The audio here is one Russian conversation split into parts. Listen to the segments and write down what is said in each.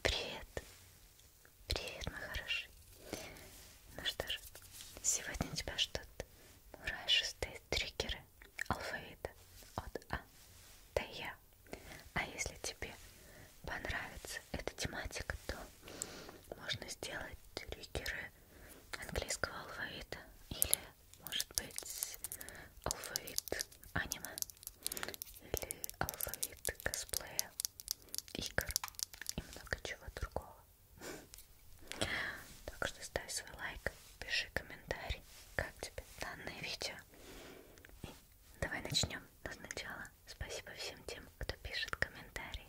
Привет! Привет, мой хороший! Ну что же, сегодня у тебя ждут мурашистые триггеры алфавита от А до Я. А если тебе понравится эта тематика, то можно сделать триггеры английского алфавита или, может быть, алфавит аниме или алфавит косплея, игр и много чего другого. Так что ставь свой лайк, пиши комментарий, как тебе данное видео. И давай начнем. Но сначала спасибо всем тем, кто пишет комментарии.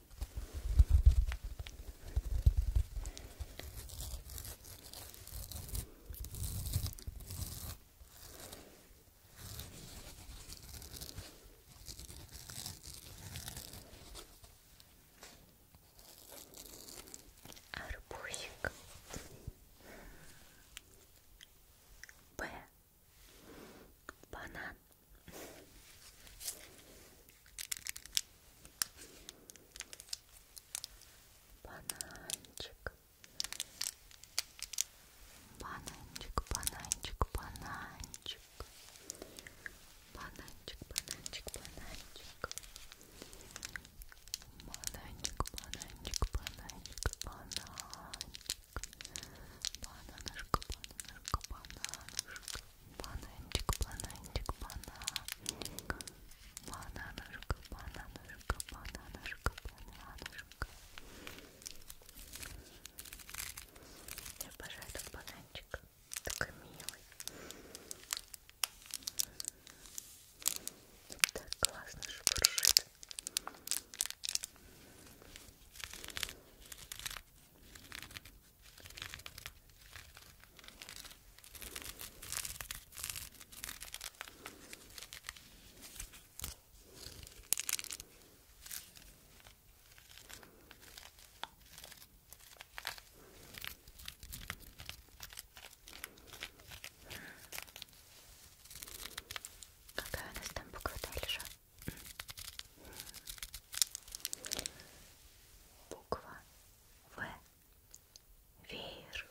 Арбузик Б. Банан. Бананчик. Бананчик, бананчик, бананчик. Бананчик, бананчик, бананчик. Бананчик, бананчик, бананчик, бананчик. Бананышка, бананышка, бананышка. Бананчик, бананчик, бананчик. Бананушка, бананушка, бананушка, бананушка. Я обожаю этот бананчик. Такой милый. Так классно шуршит. Какая у нас там буква дальше? Буква в. Веер.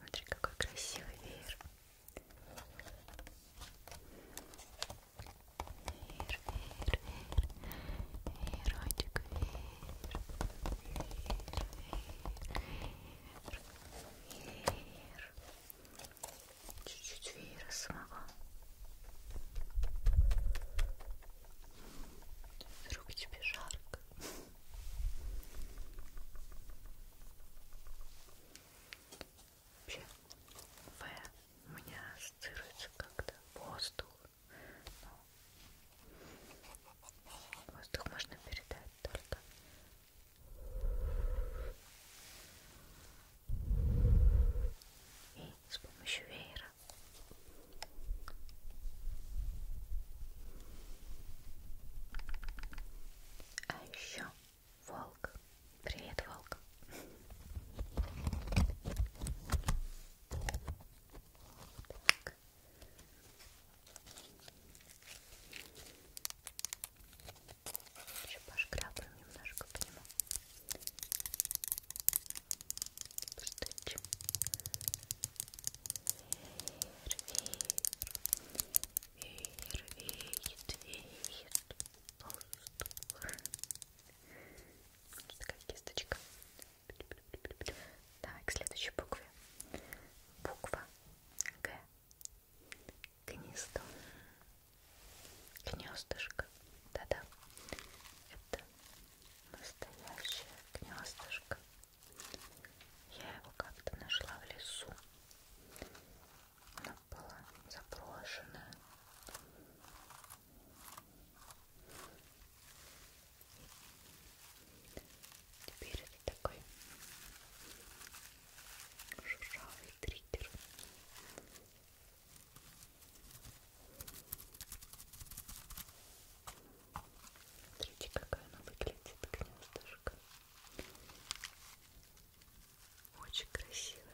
Смотри, какой красивый веер. Вер, вер, вер, верочек, вер, вер, вер, вер. Чуть-чуть веера смогла. Вдруг тебе жарко. Вообще, в у меня ассоциируется как-то воздух. Но ну, воздух можно передать только и с помощью веера. А еще волк. Привет, волк. Так. Еще пошкрябаем немножко по нему. Стыч. Веер, веер, веер, веер, пустор. Вот такая кисточка. Давай к следующей букве. Буква Г. Гнездо. Гнездышко. Да-да. Это настоящее гнездышко. Я его как-то нашла в лесу. Она была заброшенная. Теперь это такой шуршавый триггер. Смотрите, какая она выглядит, гнездышко. Очень красивая.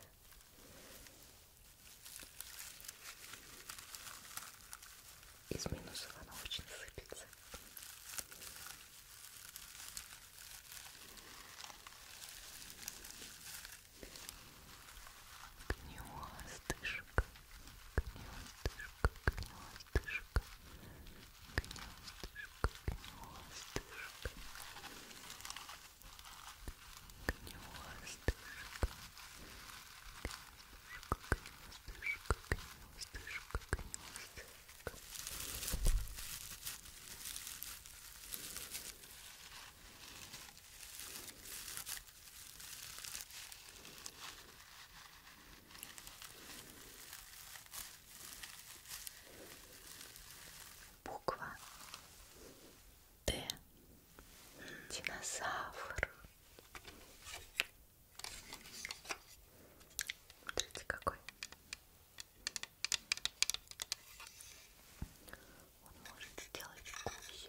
Из минусов она очень сыпется. Гнездышко, гнездышко, гнездышко, гнездышко, гнездышко. Гнездышко, гнездышко, гнездышко, гнездышко. Буква Т. Динозавр. Смотрите, какой. Он может сделать кусь.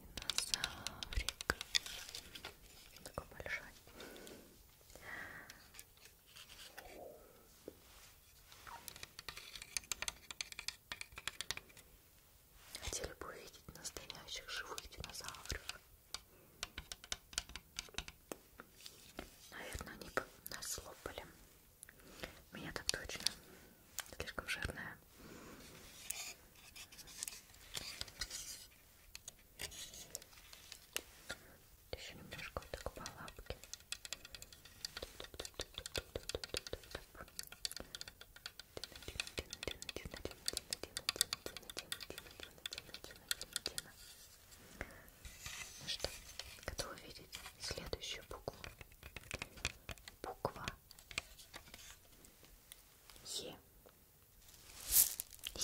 Динозаврик. Такой большой. Хотели бы увидеть настоящих живых динозавров. Наверное, они бы нас лопали. Меня так точно слишком жирная. Еще немножко вот так по лапке. Ну что, готовы видеть следующую букву? Буква Е.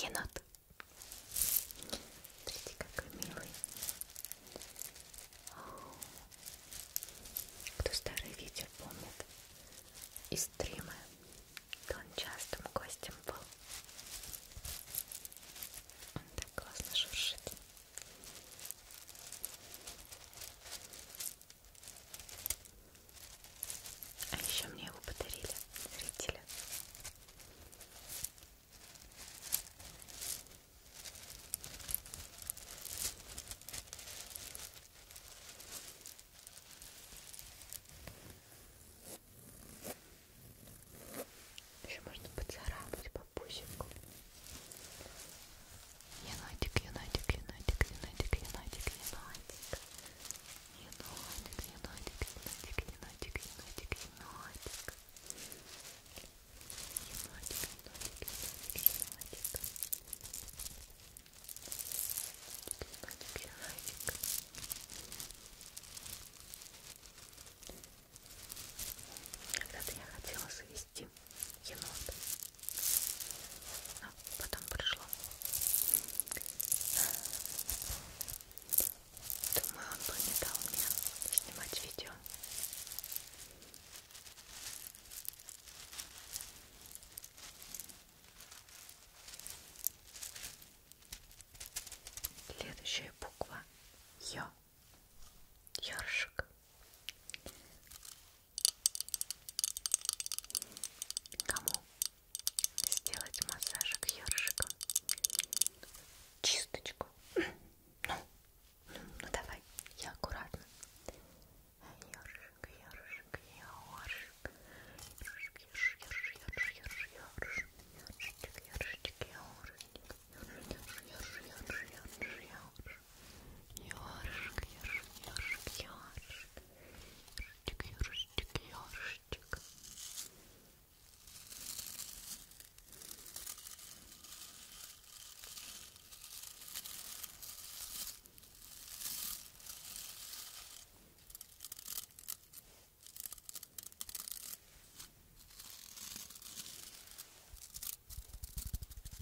Енот. Смотрите, какой милый. Кто старый ветер помнит из стрима, то он частым гостем был. Он так классно шуршит. А еще мне его подарили зрители. Еще можно поцарапать по пусику. Енотик, енотик, енотик, енотик, енотик, енотик. Енотик, енотик, енотик, енотик, енотик, енотик. Енотик, енотик, енотик, енотик. Енотик, енотик. Когда-то я хотела завести енота а, потом пришло. Думаю, он бы не дал мне снимать видео. Следующая буква Ё. Ёршик. Кому сделать массажик ёршиком? Чисточку. Ну, ну, ну давай, я аккуратно. Ёршик, ёршик, ёршик. Ёршик, ёршик, ёршик, ёршик, ёршик. Ёршик, ёршик, ёршик, ёршик, ёршик, ёршик, ёршик, ёршик, ёршик. Ёршик, ёршик, ёршик, ёршик. Ёршик, ёршик, ёршик. Ёршик,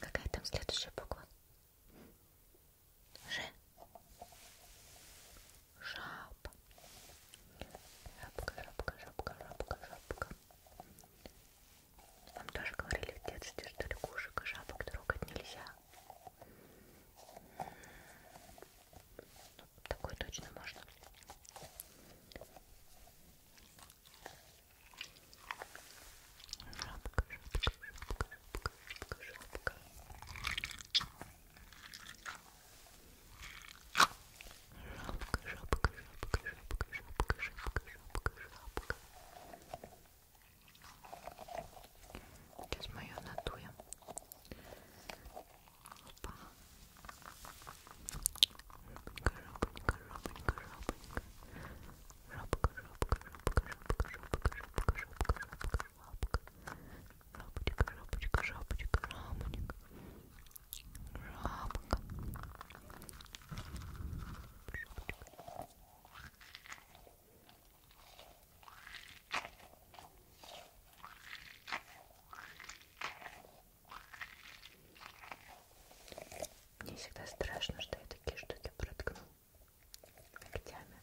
Какая там следующая буква? Ж. Жаба. Жабка, жабка, жабка, жабка, жабка. Вам тоже говорили в детстве, что лягушек и жабок трогать нельзя. Такой точно можно. Жабка, жабка, жабка, жабка, жабка, жабка. Жабка, жабка, жабка, жабка, жабка, жабка, жабка, жабка. Сейчас мы ее надуем. Опа. Жопонька, жопонька, жопонька, жопонька. Жопка, жопка, жопка, жопка, жопка, жопка, жопка, жопка, жопка. Жопочка, жопочка, жопочка, жопочка. Жопка. Жопочка. Мне всегда страшно, что я такие штуки проткну ногтями.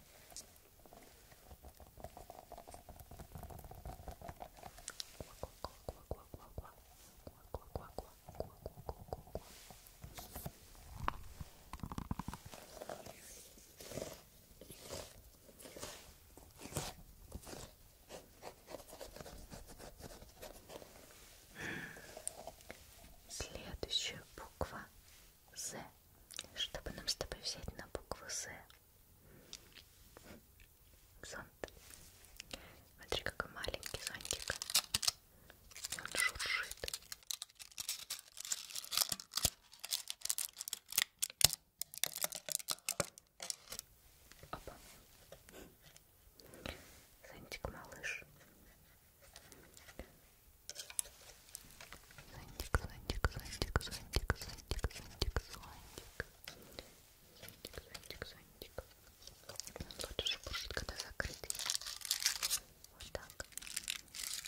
Следующая буква З. Чтобы нам с тобой взять на букву З. Зонт. Смотри, какой маленький зонтик. Он шуршит. Опа. Зонтик малыш. Зонтик, зонтик, зонтик, зонтик, зонтик, зонтик, зонтик. Зонтик, зонтик, зонтик. Он лучше будет, когда закрытый. Вот так.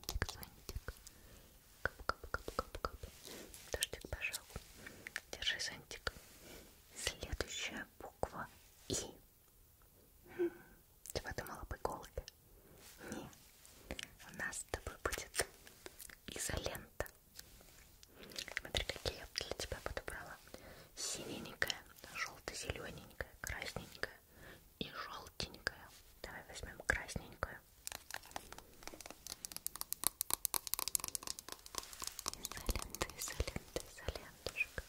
зонтик, зонтик. Кап-кап-кап-кап-кап. Дождик пошел. Держи зонтик. Следующая буква И. Хм, ты подумала бы голубь? Не. У нас с тобой будет изолента. Смотри, какие я для тебя подобрала. Синенькая, желто-зелененькая, красненькая и желтенькое. Давай возьмем красненькое. Изолента, изолента, изолентушка.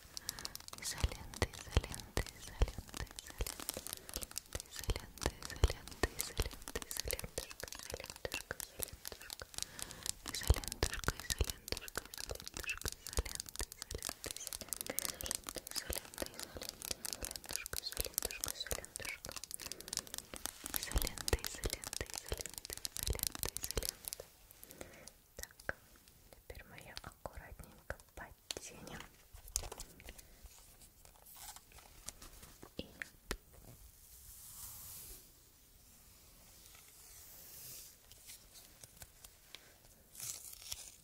Изолента, изолента, изолента, изолента. Изолента, изолента, изолента, изолентушка, изолентушка, изолентушка. Изолентушка, изолентушка, изолентушка, изолента, изолента, изолента, изолента, изолента, изолента изолентушка, изолентушка, изолентушка. Изолента, изолента, изолента, изолента, изолента. Так, теперь мы ее аккуратненько подтянем. И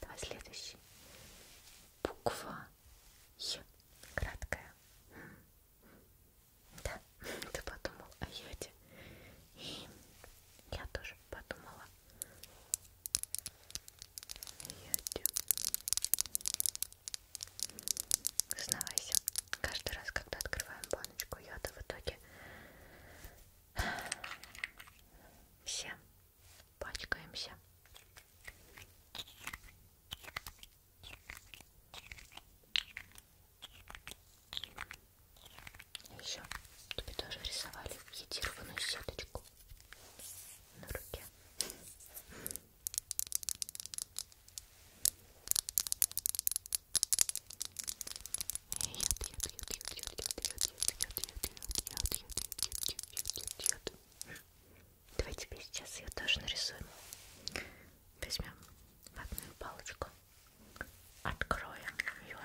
Давай следующий. Буква Е. Краткая. Да, ты подумал о а йоде. И я тоже подумала. Сзнавайся. Каждый раз, когда открываем баночку яда, в итоге все пачкаемся. Еще тебе тоже рисовали едированную сеточку на руке. Давай тебе сейчас ее тоже нарисуем. Возьмем ватную палочку, откроем ее.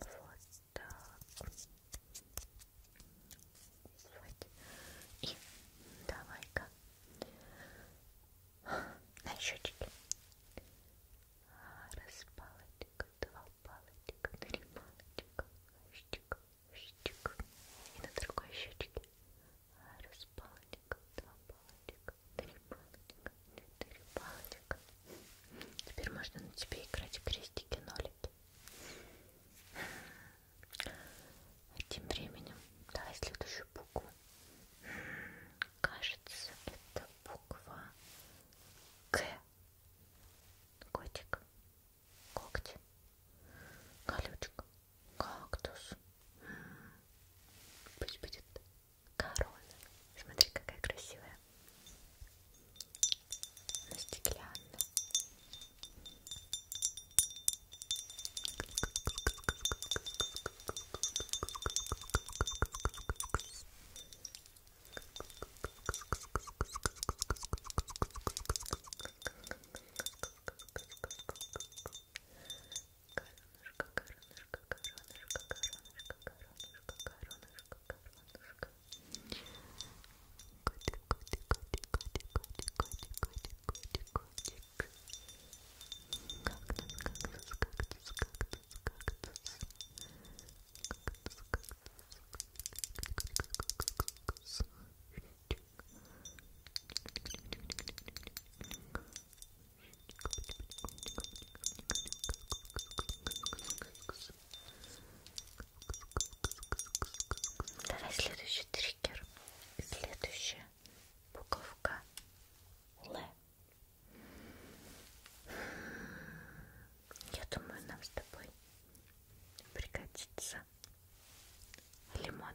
Вот так. Вот. И давай-ка на счетчике. Раз палочка, два палочка, три палочка, щик, щик. И на другой щечке. Раз палочка, два палочка, три палочка, четыре палочка. Теперь можно на тебе играть крестики-нолики. А тем временем, давай следующую букву. Кажется, это буква К. Котик, когти, колючка, кактус. Пусть будет корона. Смотри, какая красивая. Она стеклянная. Коронушка, коронушка, коронушка, коронушка, коронушка, коронушка, коронушка. Котик, котик, котик, котик, котик, котик, котик, котик, котик. Кактус, кактус, кактус, кактус, кактус. Кактус, кактус, кактус, кактус. Давай следующий триггер. Следующая буковка Л. Я думаю, нам с тобой пригодится лимон.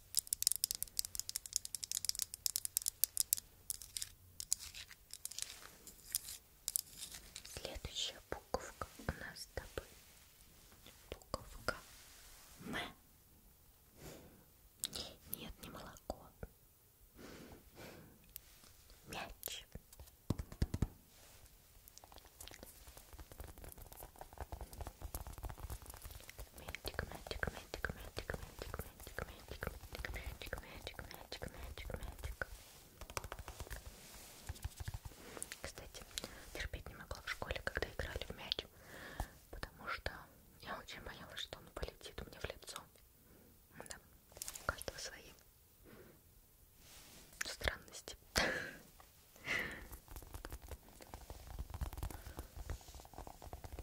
Следующая буковка у нас с тобой буковка М. Нет, не молоко. Мяч. Magic, magic, magic, magic, magic, magic, magic, magic, magic, magic, magic, magic. Кстати, терпеть не могла в школе, когда играли в мяч, потому что я очень боялась, что он полетит мне в лицо. Да, у каждого свои странности.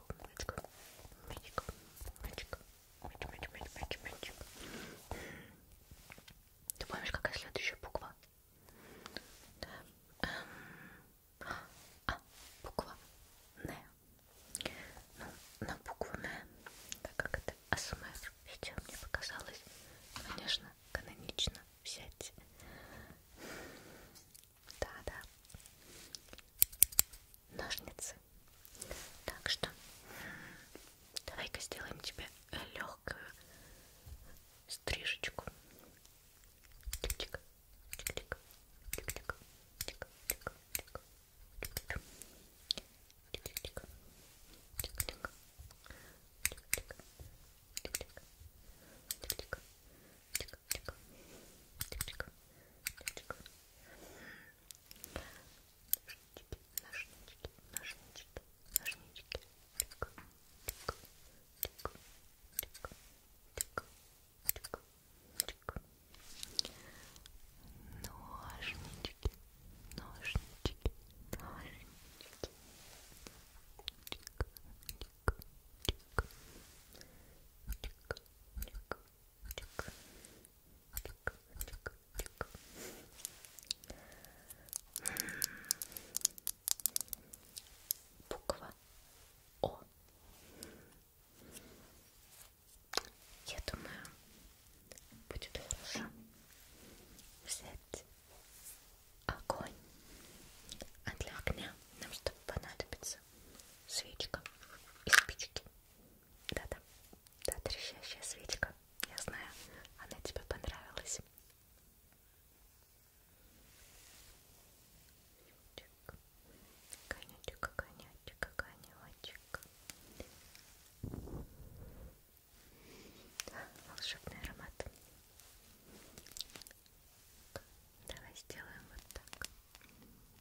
мячик, мячик, мячик, мячик, мяч, мяч, мяч, мяч, мячик. Ты помнишь, какая следующая буква? Да. Эм, а, буква Н. Ну, на букву Н, так как это АСМР, видео мне показалось, конечно, канонично взять да-да. Ножницы. Так что давай-ка сделаем тебе легкую стрижечку. Тик-тик, тик-тик, тик-тик, тик-тик, тик-тик, тик-тик, тик-тик, тик-тик, тик-тик, ножнички, ножнички, ножнички. Буква О. Я думаю, будет хорошо взять огонь. А для огня нам что понадобится? свечка и спички. Да-да, да, трещащая свечка. Я знаю, она тебе понравилась. Конячек, конячек, конячек. Волшебный аромат. Давай сделаем вот так. Конечек,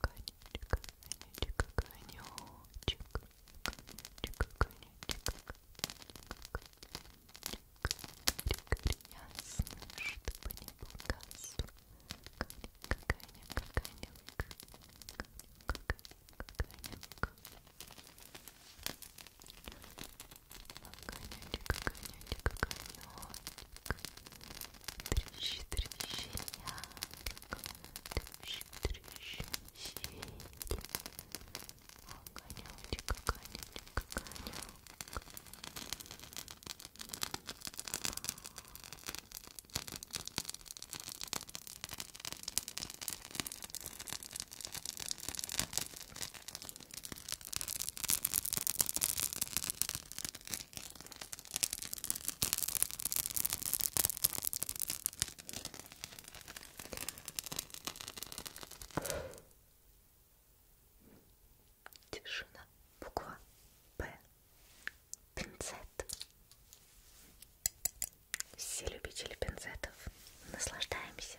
конечек, конечек, конечек, конечек. Ясно, чтобы не пугаться. Какая-нибудь, какая-нибудь, какая-нибудь, Огонечек, огонечек, огонечек. Трещи, трещи, ярко. Трещи, трещи, сели. Огонечек, огонечек, огонек. Огонечек, Тишина. Буква П. Пинцет. Все любители пинцетов. Наслаждаемся.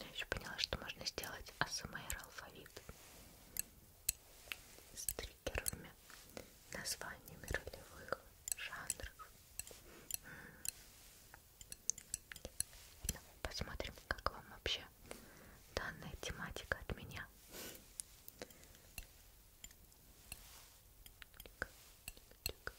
Я еще поняла, что можно сделать АСМР алфавит с триггерами, названиями ролевых жанров. Ну, посмотрим, как вам вообще данная тематика от меня. Тик, тик,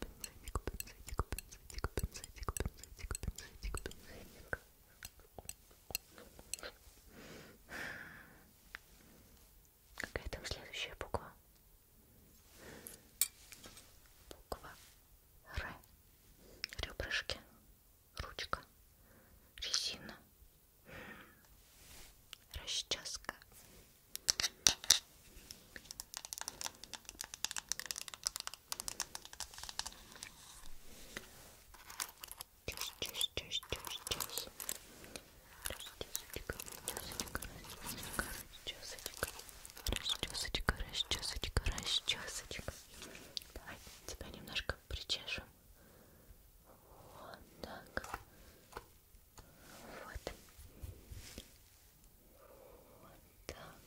пинцетик, пинцетик, пинцетик, пинцетик, пинцетик, пинцетик, пинцетик. Какая там следующая буква? Буква Р. Ребрышки, ручка, резина, расческа. Чеш, чеш, чеш, чеш, чеш. Расчесочка, расчесочка, расчесочка, расчесочка. Расчесочка, расчесочка, расчесочка. Давай тебя немножко причешем. Вот так. Вот. Вот так.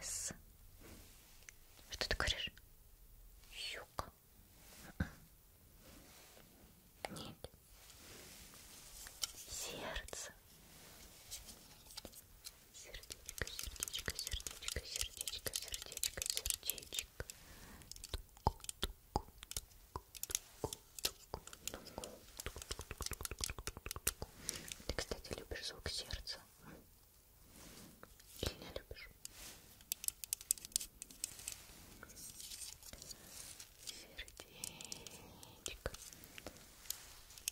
С. Что ты говоришь? Юг. Нет. Сердце. Сердечко, сердечко, сердечко, сердечко, сердечко, сердечко. Тук, тук, тук, тук, тук, тук, тук, тук, тук. Ты, кстати, любишь звук сердца? Или не любишь? Сердечко. Сердечко.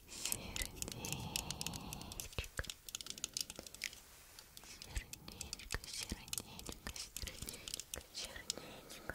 Сердечко, сердечко, сердечко, сердечко.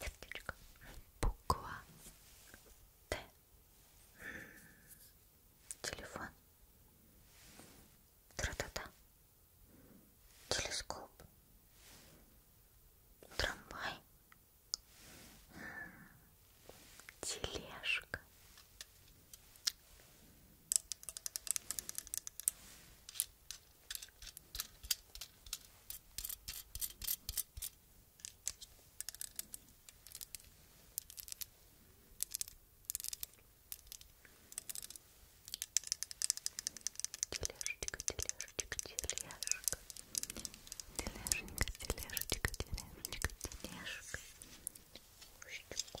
Сердечко. Буква Т. Телефон. Тра-та-та. Телескоп. Трамвай. Тележка. Тележечка, тележечка, тележка. Тележенька, тележечка, тележечка, тележка. Щуку.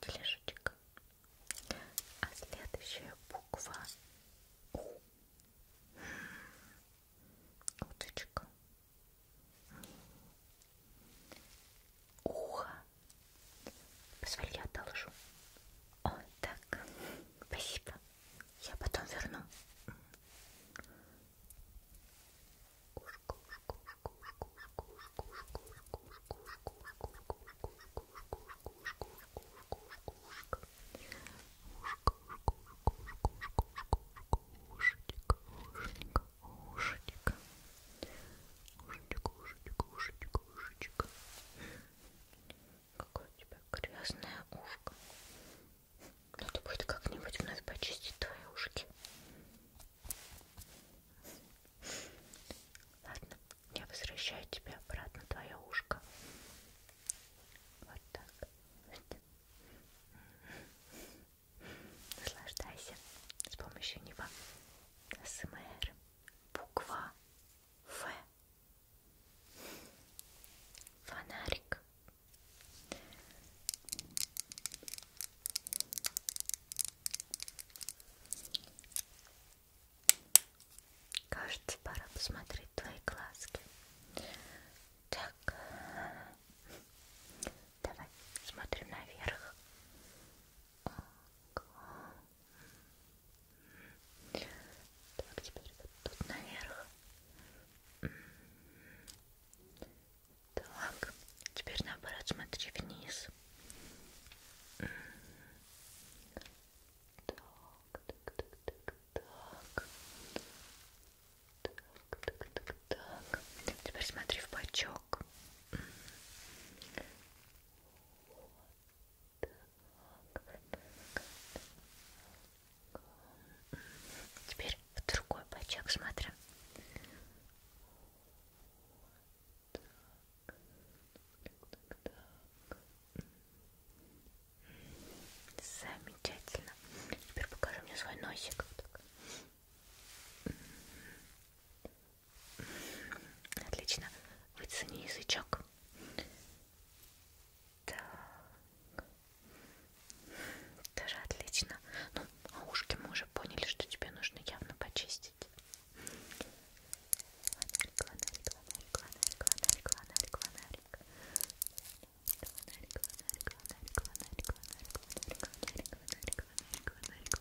Тележечка. А следующая буква У. Уточка. Ухо. Позволь, я одолжу. О, так. Спасибо. Я потом верну. Ушечка, ушечка, ушечка, ушечка, ушечка, ушечка, ушечка. Какое у тебя грязное ушко. Надо будет как-нибудь вновь почистить твои ушки. Ладно, я возвращаю тебе обратно твое ушко. Вот так. Наслаждайся с помощью него. СМР. Буква Ф. Фонарик. Кажется, пора посмотреть твои глазки. Так, Давай смотрим наверх. Так, теперь вот тут наверх. Так, теперь наоборот смотри вниз. Так, так, так, так, так. Так, так, так, так. Теперь смотри в бочок так. Вот так, так, так. Теперь в другой пачок смотрим. Так, так, так. Замечательно. Теперь покажи мне свой носик. Так. Отлично. Выцени язычок. Так. Тоже отлично. Ну, а ушки мы уже поняли, что тебе нужно явно почистить. Клонарик, клонарик, клонарик, клонарик, клонарик, клонарик, клонарик. Клонарик, клонарик, клонарик, клонарик, клонарик, клонарик, клонарик, клонарик, клонарик, фонарик, фонарик,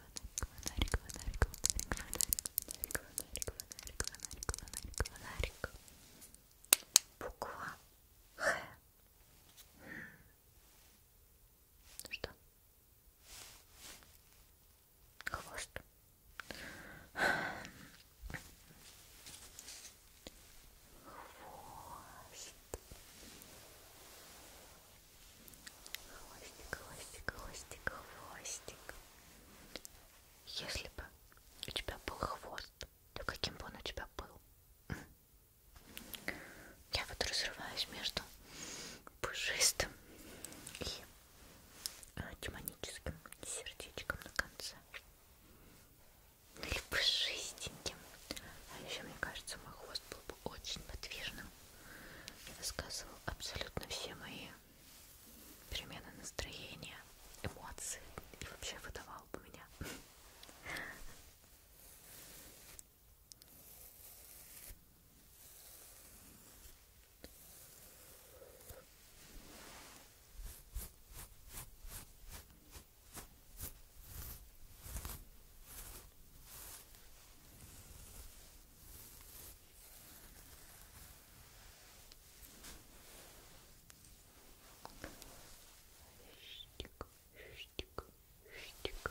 фонарик, фонарик, фонарик, фонарик, фонарик, фонарик, фонарик, фонарик, фонарик. Буква Х. Что? Хвост. Хвост. Хвостик, хвостик, хвостик, хвостик. Если бы у тебя был хвост, то каким бы он у тебя был? Я вот разрываюсь между пушистым и а, демоническим сердечком на конце. Ну или пушистеньким. А еще, мне кажется, мой хвост был бы очень подвижным высказывал абсолютно все мои перемены настроения, эмоции и вообще выдавал бы меня. Хвостик, хвостик, хвостик.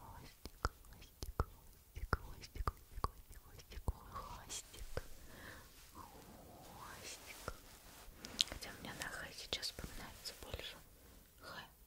Хвостик, хвостик, хвостик, хвостик, хвостик, хвостик, хвостик, хвостик. Хотя мне на Х сейчас вспоминается больше. Х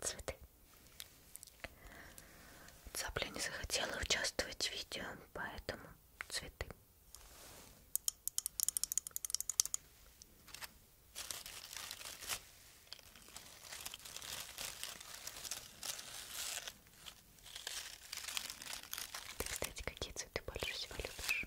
цветы. Цапля не захотела участвовать в видео, поэтому цветы. Ты, кстати, какие цветы больше всего любишь?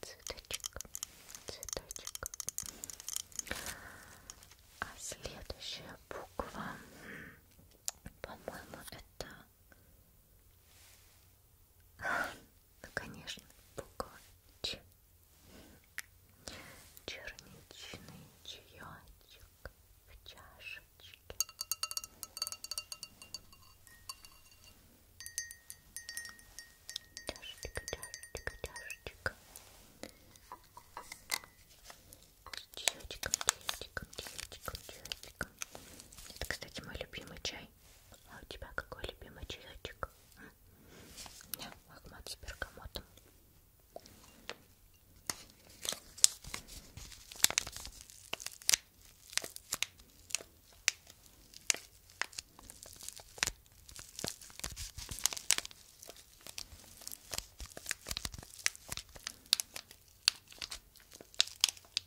Цветочек, цветочек. А следующая буква, по-моему, это... Ну, конечно, буква Ч. Черничный чаячок в чашечке. Чашечка, чашечка, чашечка. Чаечком, чаечком, чаечком, чаечком. Это, кстати, мой любимый чай. А у тебя какой любимый чаечек? Я Ахмат с бергамотом.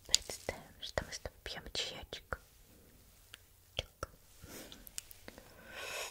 Представим, что мы с тобой пьем чаечек.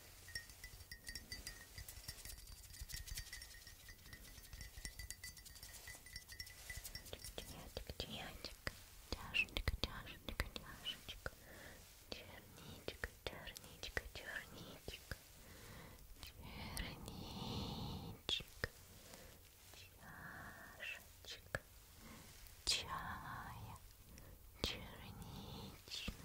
Тянечек, тянечек, тяжечка, тяжечка, тяжечка, черничка, черничка, черничка, черничка, чашечка, чая, черничная,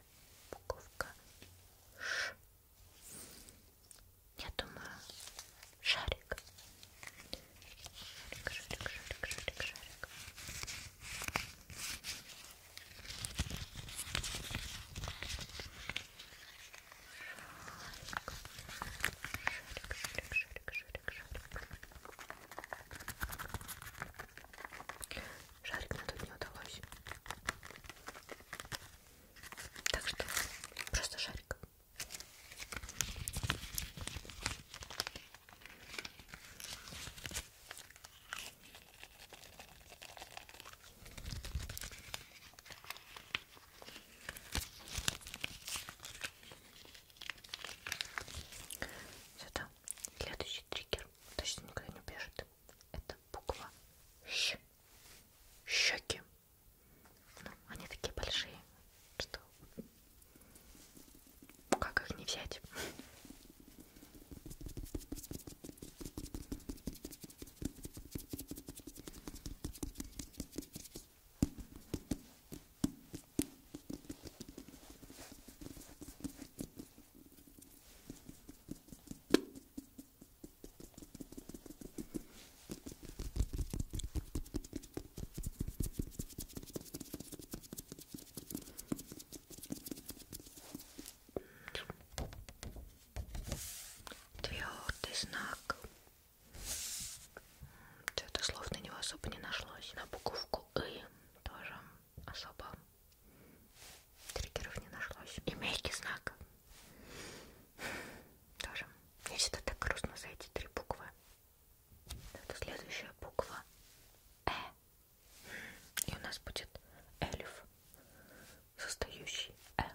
буковка Ш. Я думаю, шарик. Шарик, шарик, шарик, шарик, шарик. Шарик, шарик, шарик, шарик, шарик шарик надуть не удалось. Так что просто шарик. Сюда. Следующий триггер. Точно никогда не убежит это буква Щ. Щеки. Ну, они такие большие, что как их не взять? Твердый знак. Что-то слов на него особо не нашлось. На буковку И тоже особо триггеров не нашлось. И мягкий знак. Тоже. Я всегда так грустно за эти три буквы. Это следующая буква Э. И у нас будет эльф, состающий эхо.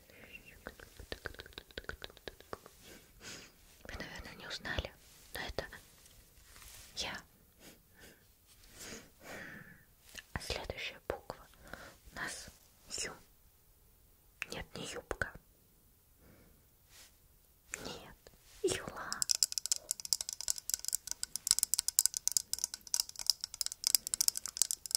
Вы, наверное, не узнали, но это я. А следующая буква у нас Ю. Нет, не юбка. Нет, юла.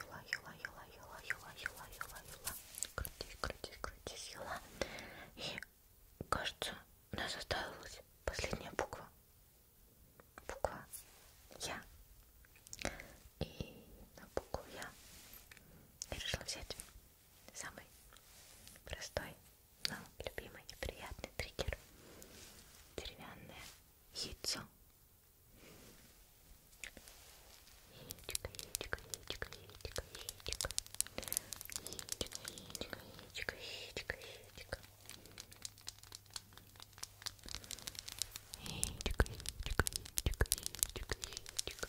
Юла, юла, юла, юла, юла, юла, юла, юла. Крутись, крутись, крутись, юла. И кажется, у нас осталась последняя буква. Буква Я. И на букву Я. Я решила взять Самый простой, но любимый и приятный триггер. Деревянное яйцо. Яичко, яичко, яичко, яичко, яичко. Яичко, яичко, яичко, яичко, яичко. Яичко, яичко, яичко, яичко, яичко.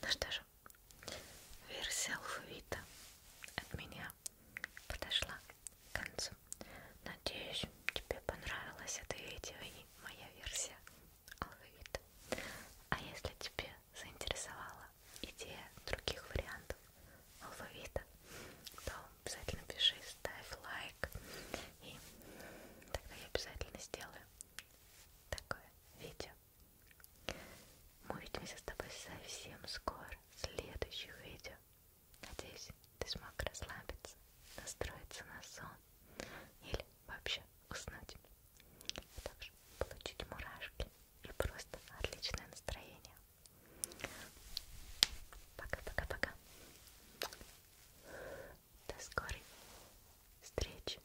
Ну что же, версия алфавита от меня подошла к концу. Надеюсь, тебе понравилась это видео и моя версия алфавита. А если тебе заинтересовала идея других вариантов алфавита, то обязательно пиши, ставь лайк, и тогда я обязательно сделаю такое видео. Мы увидимся с тобой совсем скоро в следующих видео. Надеюсь, ты смог расслабиться, настроиться на сон или вообще уснуть. А также получить мурашки и просто отличное настроение. Пока-пока-пока. До скорой встречи!